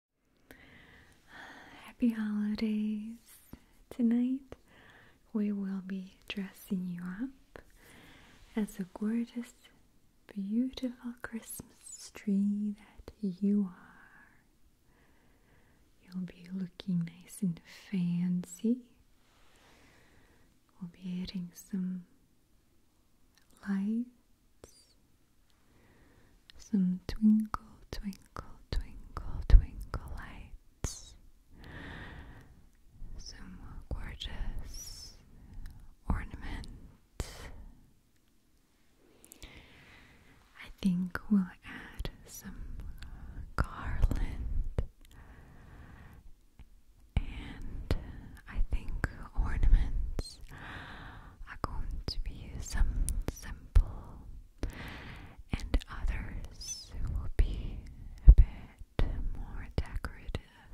Happy holidays! Tonight we will be dressing you up as a gorgeous, beautiful Christmas tree that you are. You'll be looking nice and fancy. We'll be adding some lights some twinkle, twinkle, twinkle, twinkle lights. Some gorgeous ornaments. I think we'll add some garland. And I think ornaments are going to be some simple, and others will be a bit more decorative.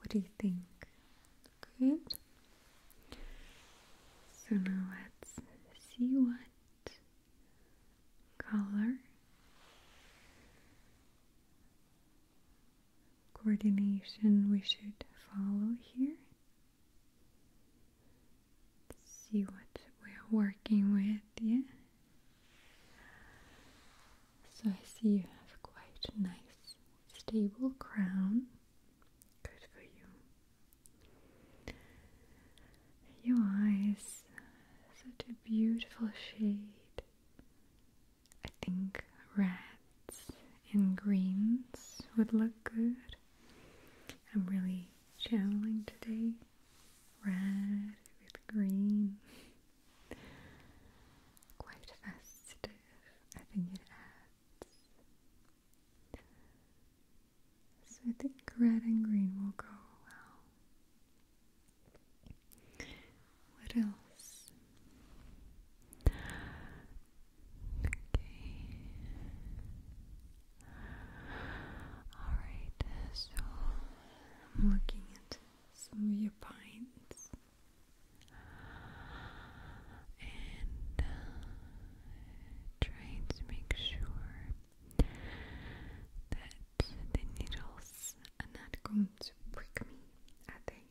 What do you think? Good. So now let's see what color coordination we should follow here. see what we're working with, yeah. So I see you have quite a nice stable crown. Good for you. Your eyes, such a beautiful shade I think reds and greens would look good. I'm really channeling today. Red with green. Quite festive. I think it adds. So I think red and green will go well. What else? Okay. Alright, so I'm looking at some of your pines. And uh, trying to make sure that the needles are not going to prick me, are they?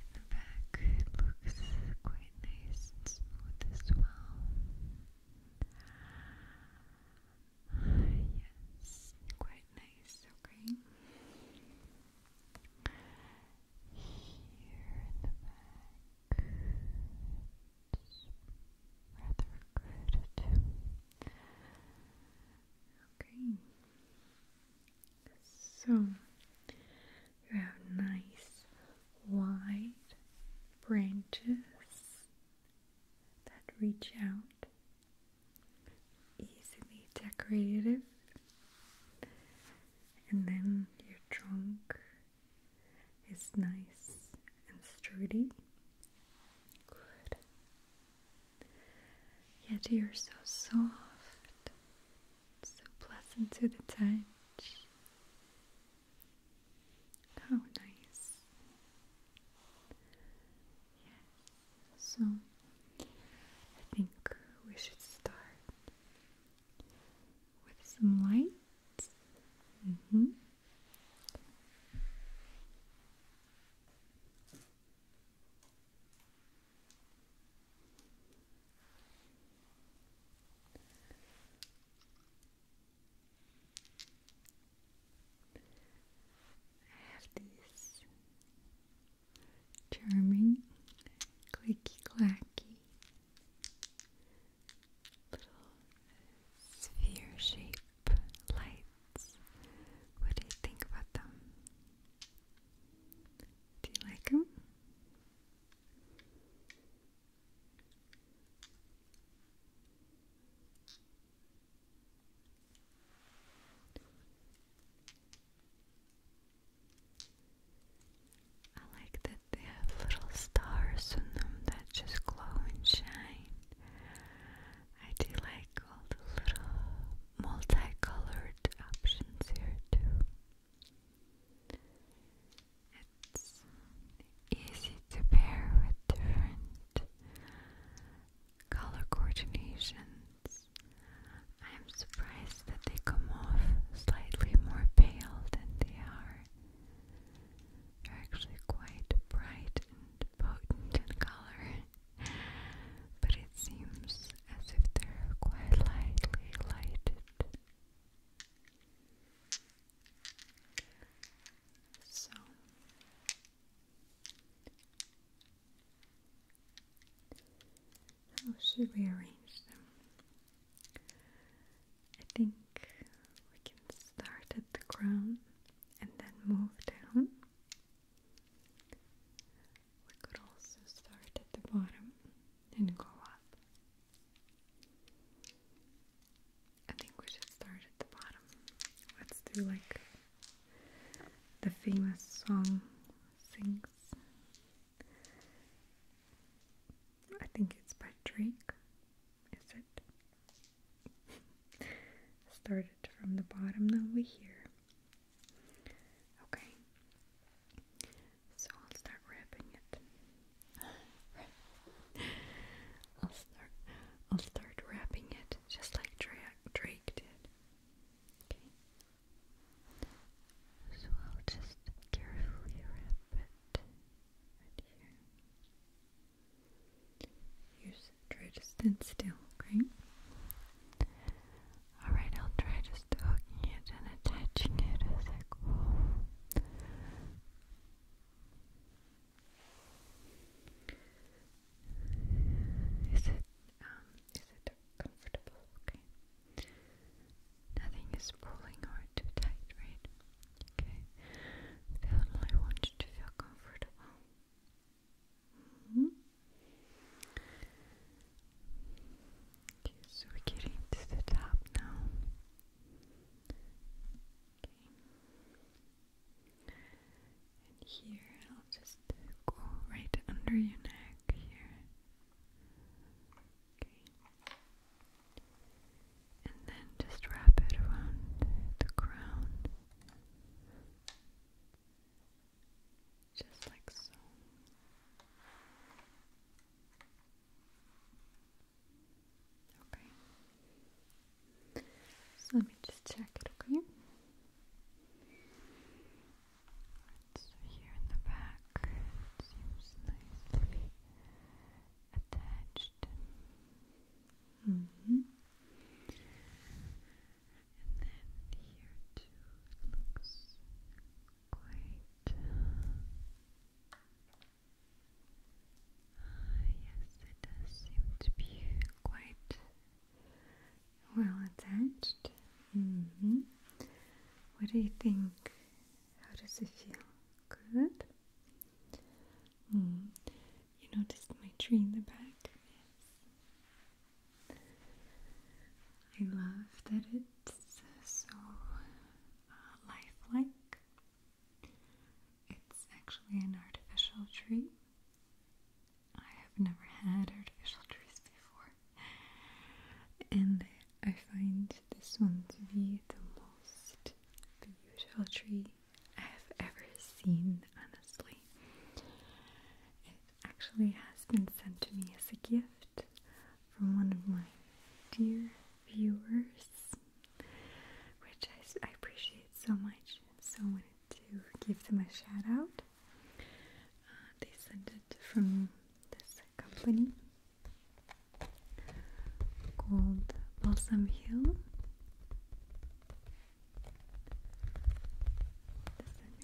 In the back, it looks quite nice and smooth as well. Yes, quite nice, okay. Here in the back, rather good Okay. So you have nice wide branches that reach out, easily decorative, and then your trunk is nice and sturdy. Good. Yet you're so soft, so pleasant to the touch. How nice. so I think we should start with some light. Mm-hmm. I have these charming clicky clacky little sphere shape lights. What do you think about them? Do you like them? I like that they have little stars on them that just glow and shine. I do like all the little multicolored options here too. It's easy to pair with different color coordinations. I'm surprised that they come off slightly more pale than they are. They're actually quite bright and potent in color but it seems as if they're quite lightly lighted. So how should we arrange them? I think we can start at the crown and then move down. We could also start at the bottom and go up. I think we should start at the bottom. Let's do like the famous song sings. I think it's by Drake. Is it? Started from the bottom, now we're here. Okay. So I'll start wrapping it. I'll start I'll start wrapping it just like Dra Drake did. Okay. So I'll just carefully wrap it right here. You try to stand still, okay? Alright, I'll try just hooking it and attaching it it um is it comfortable? Okay. Nothing is pulling or too tight, right? Okay. Definitely want you to feel comfortable. Mm-hmm. Okay, so we're getting the top now. Okay. And here, I'll just go right under your neck here. Okay. And then just wrap it around the crown just like so. Okay. So let me just check it, okay? It's here in the back. seems nicely attached. -hmm. And then here too looks quite. yes, it does seem to be quite uh, well attached. Mm-hmm. What do you think? How does it feel? Good. Mm. You noticed my tree in the back? I love that it's so uh, lifelike. It's actually an artificial tree. I have never had artificial trees before, and I find this one to be the most beautiful tree I have ever seen, honestly. It actually has been sent to me as a gift from one of my dear viewers, which I, appreciate so much. So I wanted to give them a shout out. Uh, they sent it from this company called Balsam Hill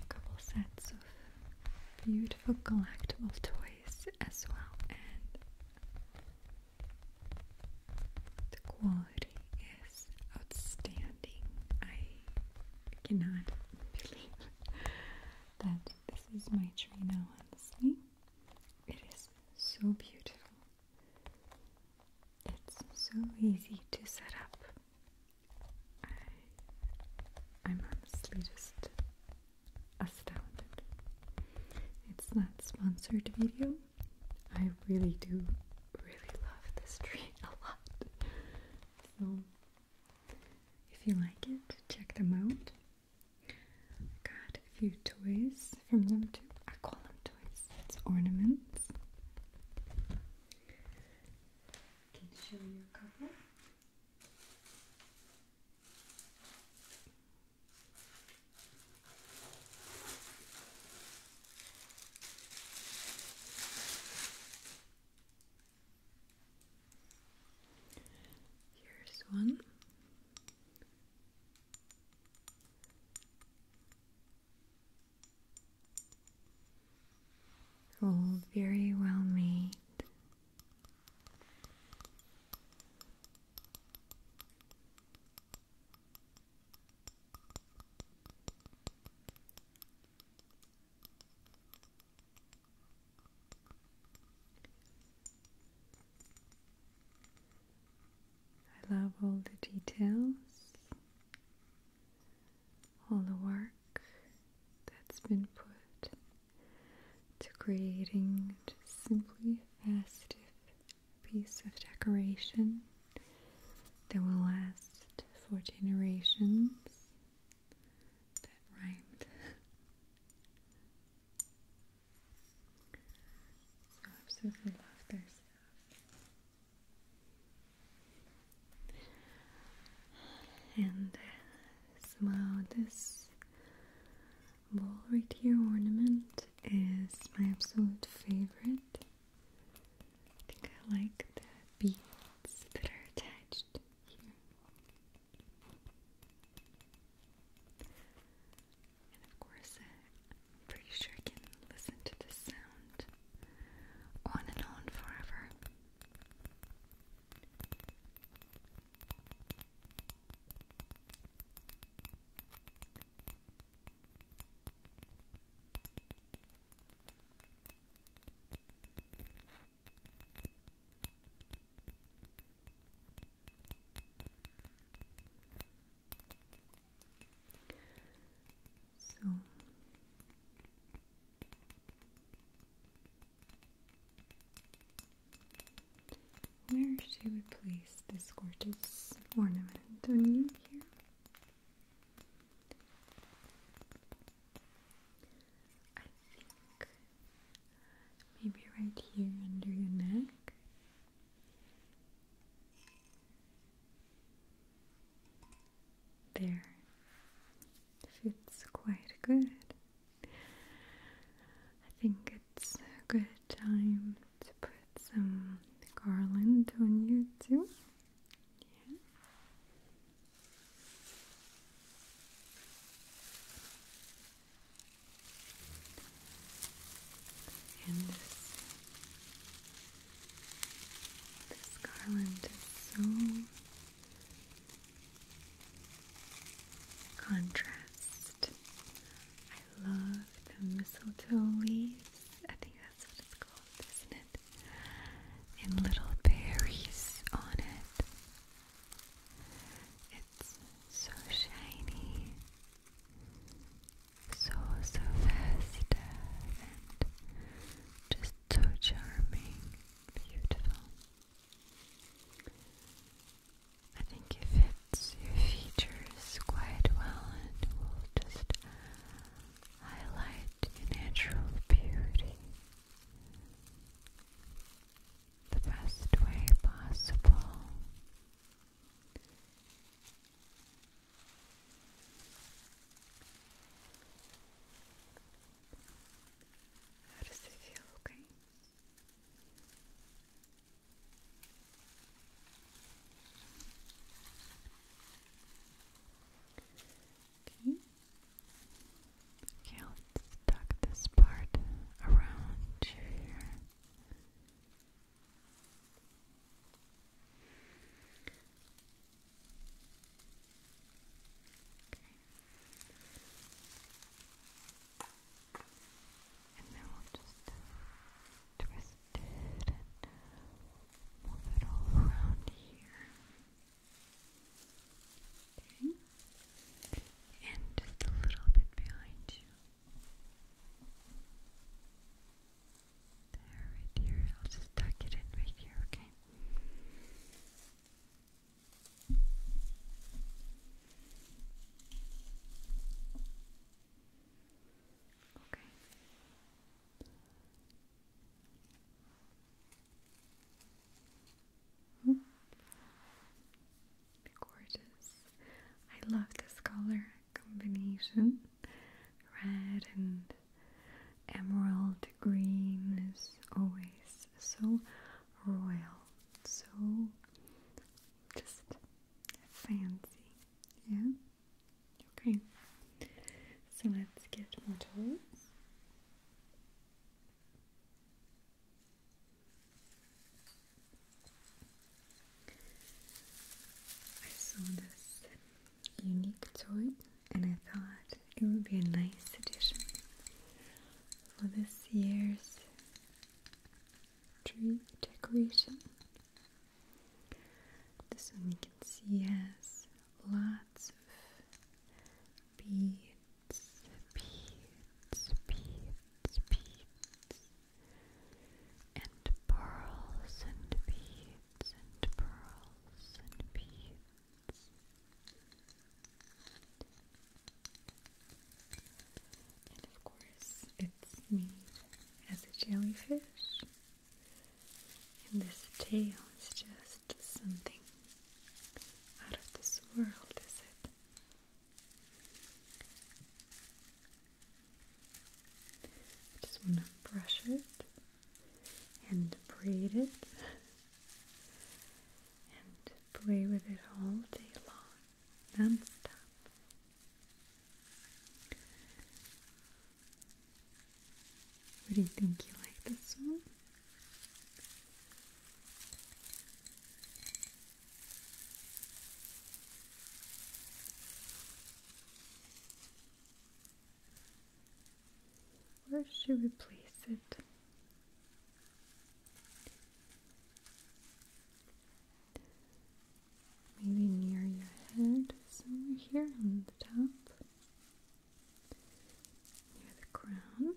a couple sets of beautiful collectible toys as well and the quality is outstanding. I cannot believe that this is my tree honestly. It is so beautiful. It's so easy to set up. I, I'm honestly just astounded. It's not sponsored video. I really do really love this tree a lot. So if you like it, check them out. I got a few toys from them too. I call them toys towards its ornaments. can show you a couple. Here's one. All very well made. I love all the details all the work that's been put to creating just simply festive piece of decoration that will last for generations. That rhymed. so absolutely love their and uh, this ball right here ornament is my absolute favorite I think I like the beads that are attached and of course uh, I'm pretty sure I can listen to this sound on and on forever. So where should we place this gorgeous ornament on you here? I think maybe right here under your neck. There. Fits quite good. I think it's a good time to put some garland on you too. Yeah. This garland is so contrast. I love the mistletoe leaves. I think that's what it's called, isn't it? And little berries on it. It's so shiny so so fast and just so charming, beautiful. I think it fits your features quite well and will just highlight your natural beauty the best way possible. How does it feel? Okay. Okay. Okay, let's tuck this part around you here. And then we'll just twist it and move it all around here. Okay. And just a little bit behind you. There, right here. I'll just tuck it in right here, okay? Okay. Hmm. Gorgeous. I love this color combination. Red and emerald green is always so royal, so just fancy. Yeah? Okay. So let's get more tools. I saw this unique toy and I thought it would be a nice addition for this year's tree decoration. This one you can see has lots of beads, beads, beads, beads and pearls and beads and pearls and beads. And of course, it's me as a jellyfish. And this tail is just something out of this world, is it? I just want to brush it and braid it and play with it all day long, non-stop. What do you think you like this one? Where should we place it? Maybe near your head, somewhere here on the top, near the crown,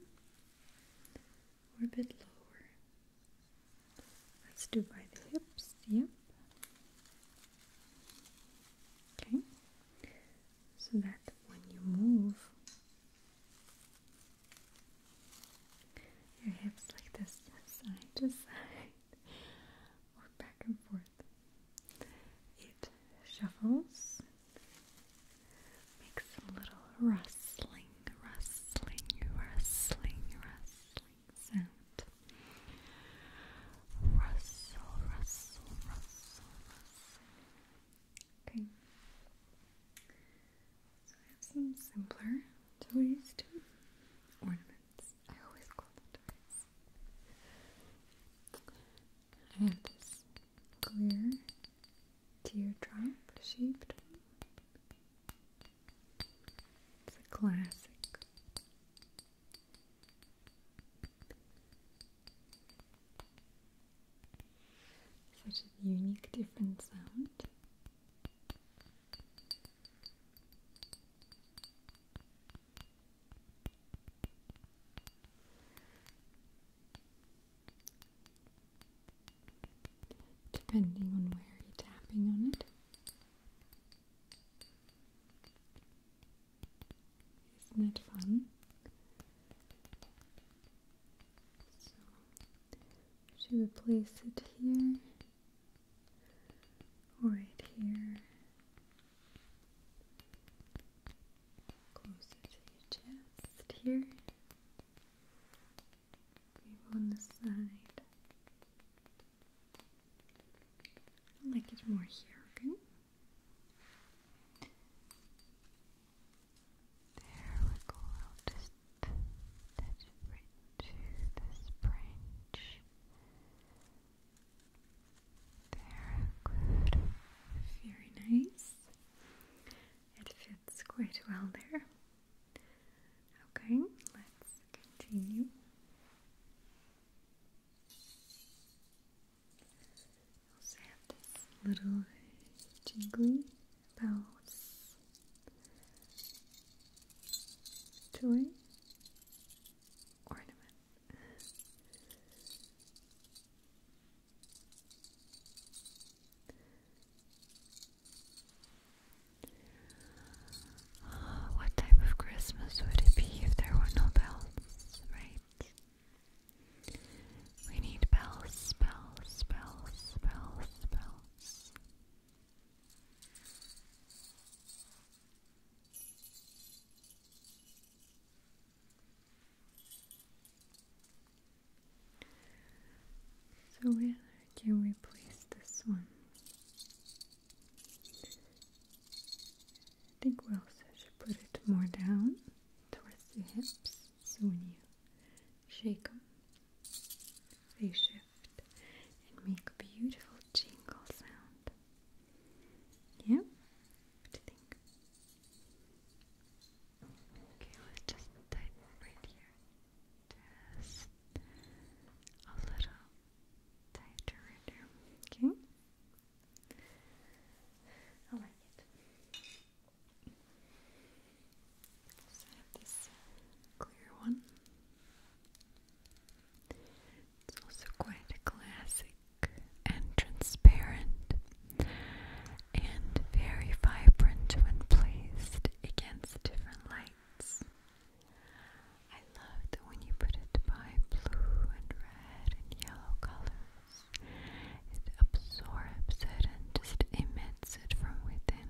or a bit lower. Let's do by the hips, yep. Okay, so that when you move your hips like this, side to side, or back and forth, it shuffles, makes a little rustling, rustling, rustling, rustling sound. Rustle, rustle, rustle, rustle. Okay. So I have some simpler toys too. Ornaments. I always call them toys. I have this clear teardrop shaped it's a classic. Such a unique, different sound. Depending on where you're tapping on it, isn't it fun? So should we place it here right here? Closer to your chest here. on the side. I like it more here, okay? There we go, just attach it right to this branch. There, good. Very nice. It fits quite well there. Okay, let's continue. I also have this little jingly bells toy ornament. Oh, what type of Christmas would it be if there were no bells, right? We need bells, bells, bells, bells, bells. So where can we place this one? I think we also should put it more down towards the hips so when you shake them, they shift and make a beautiful jingle sound. Yeah? What do you think? Okay, let's just tighten right here just a little tighter Okay? I like this clear one. It's also quite a classic and transparent and very vibrant when placed against different lights. I love that when you put it by blue and red and yellow colors, it absorbs it and just emits it from within.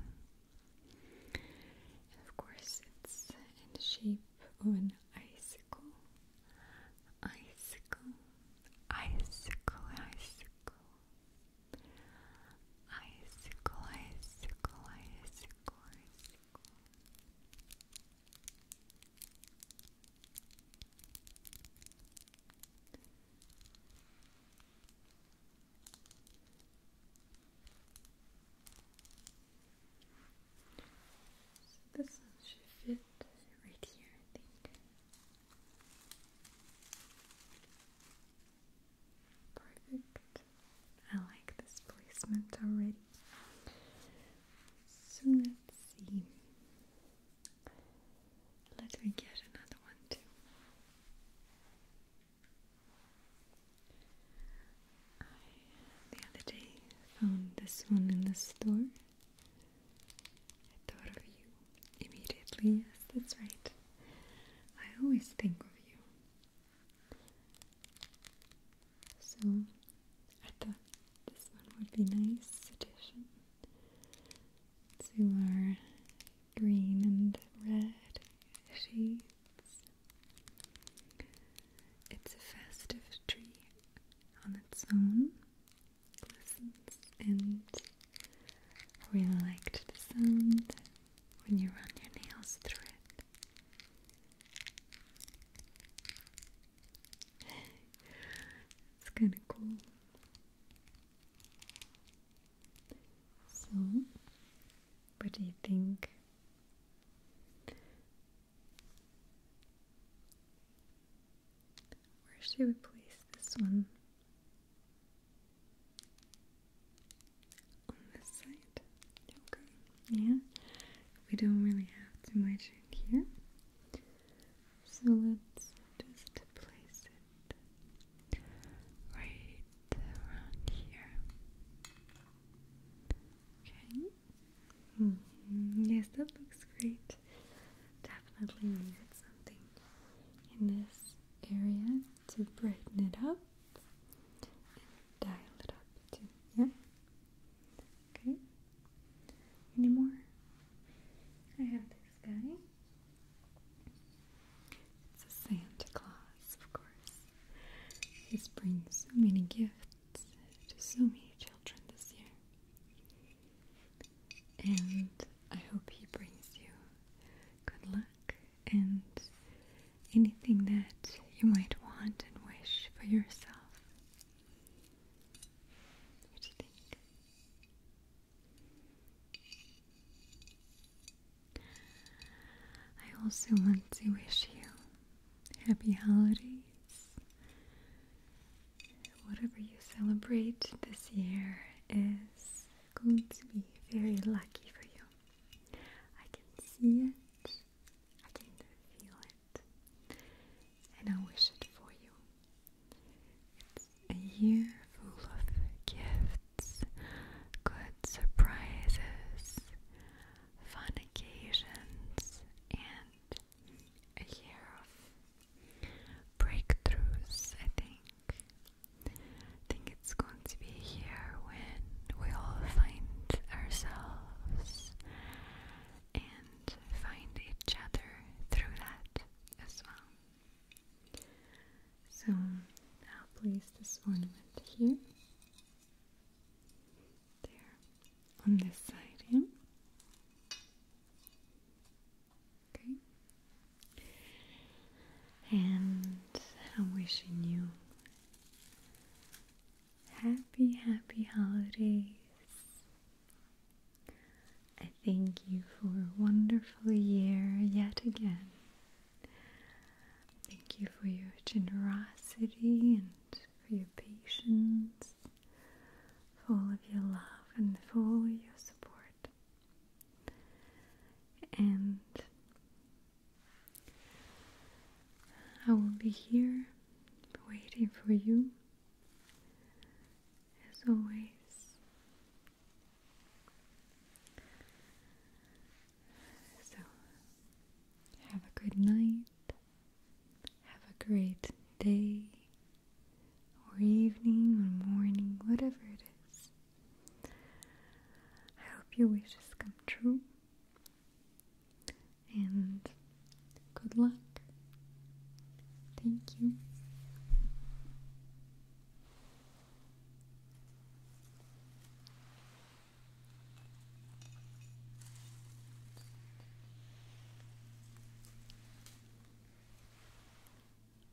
And of course, it's in the shape of an icicle. Icicle, icicle, icicle. Icicle, icicle, icicle, this one should fit right here, I think. Perfect. I like this placement already. So let's see. Let me get another one too. I the other day found this one in the store. I thought of you immediately. Yes, that's right. I always think of you. So I thought this one would be nice addition to our green and red shades. It's a festive tree on its own, glistens, and I liked the sound when you run your nails through it. it's kind of cool. So, what do you think? Where should we place this one? on this side. Okay. Yeah. We don't really have too much in here. So let's just place it right around here. Okay. Mm-hmm. Yes, that looks great. Definitely need something in this area to brighten it up dial it up too. Yeah. Okay. Any more? I have this guy. It's Santa Claus, of course. He's bringing so many gifts to so many children this year. And I hope he brings you good luck and anything that you might want and wish for yourself. I also want to wish you happy holidays. Whatever you celebrate this year is going to be very lucky for you. I can see it, I can feel it, and I wish it for you. It's a year full of gifts, good surprises, fun occasions, and a year of breakthroughs, I think. I think it's going to be here when we all find ourselves and find each other through that as well. So I'll place this ornament here, there, on this side here. Okay. And I'm wishing you happy, happy holidays. I thank you for a wonderful year yet again. Thank you for your generosity and for your patience, all of your love and full of your support and I will be here waiting for you as always. So, have a good night, have a great day, or evening, or morning, whatever it is. I hope your wishes come true. And good luck. Thank you.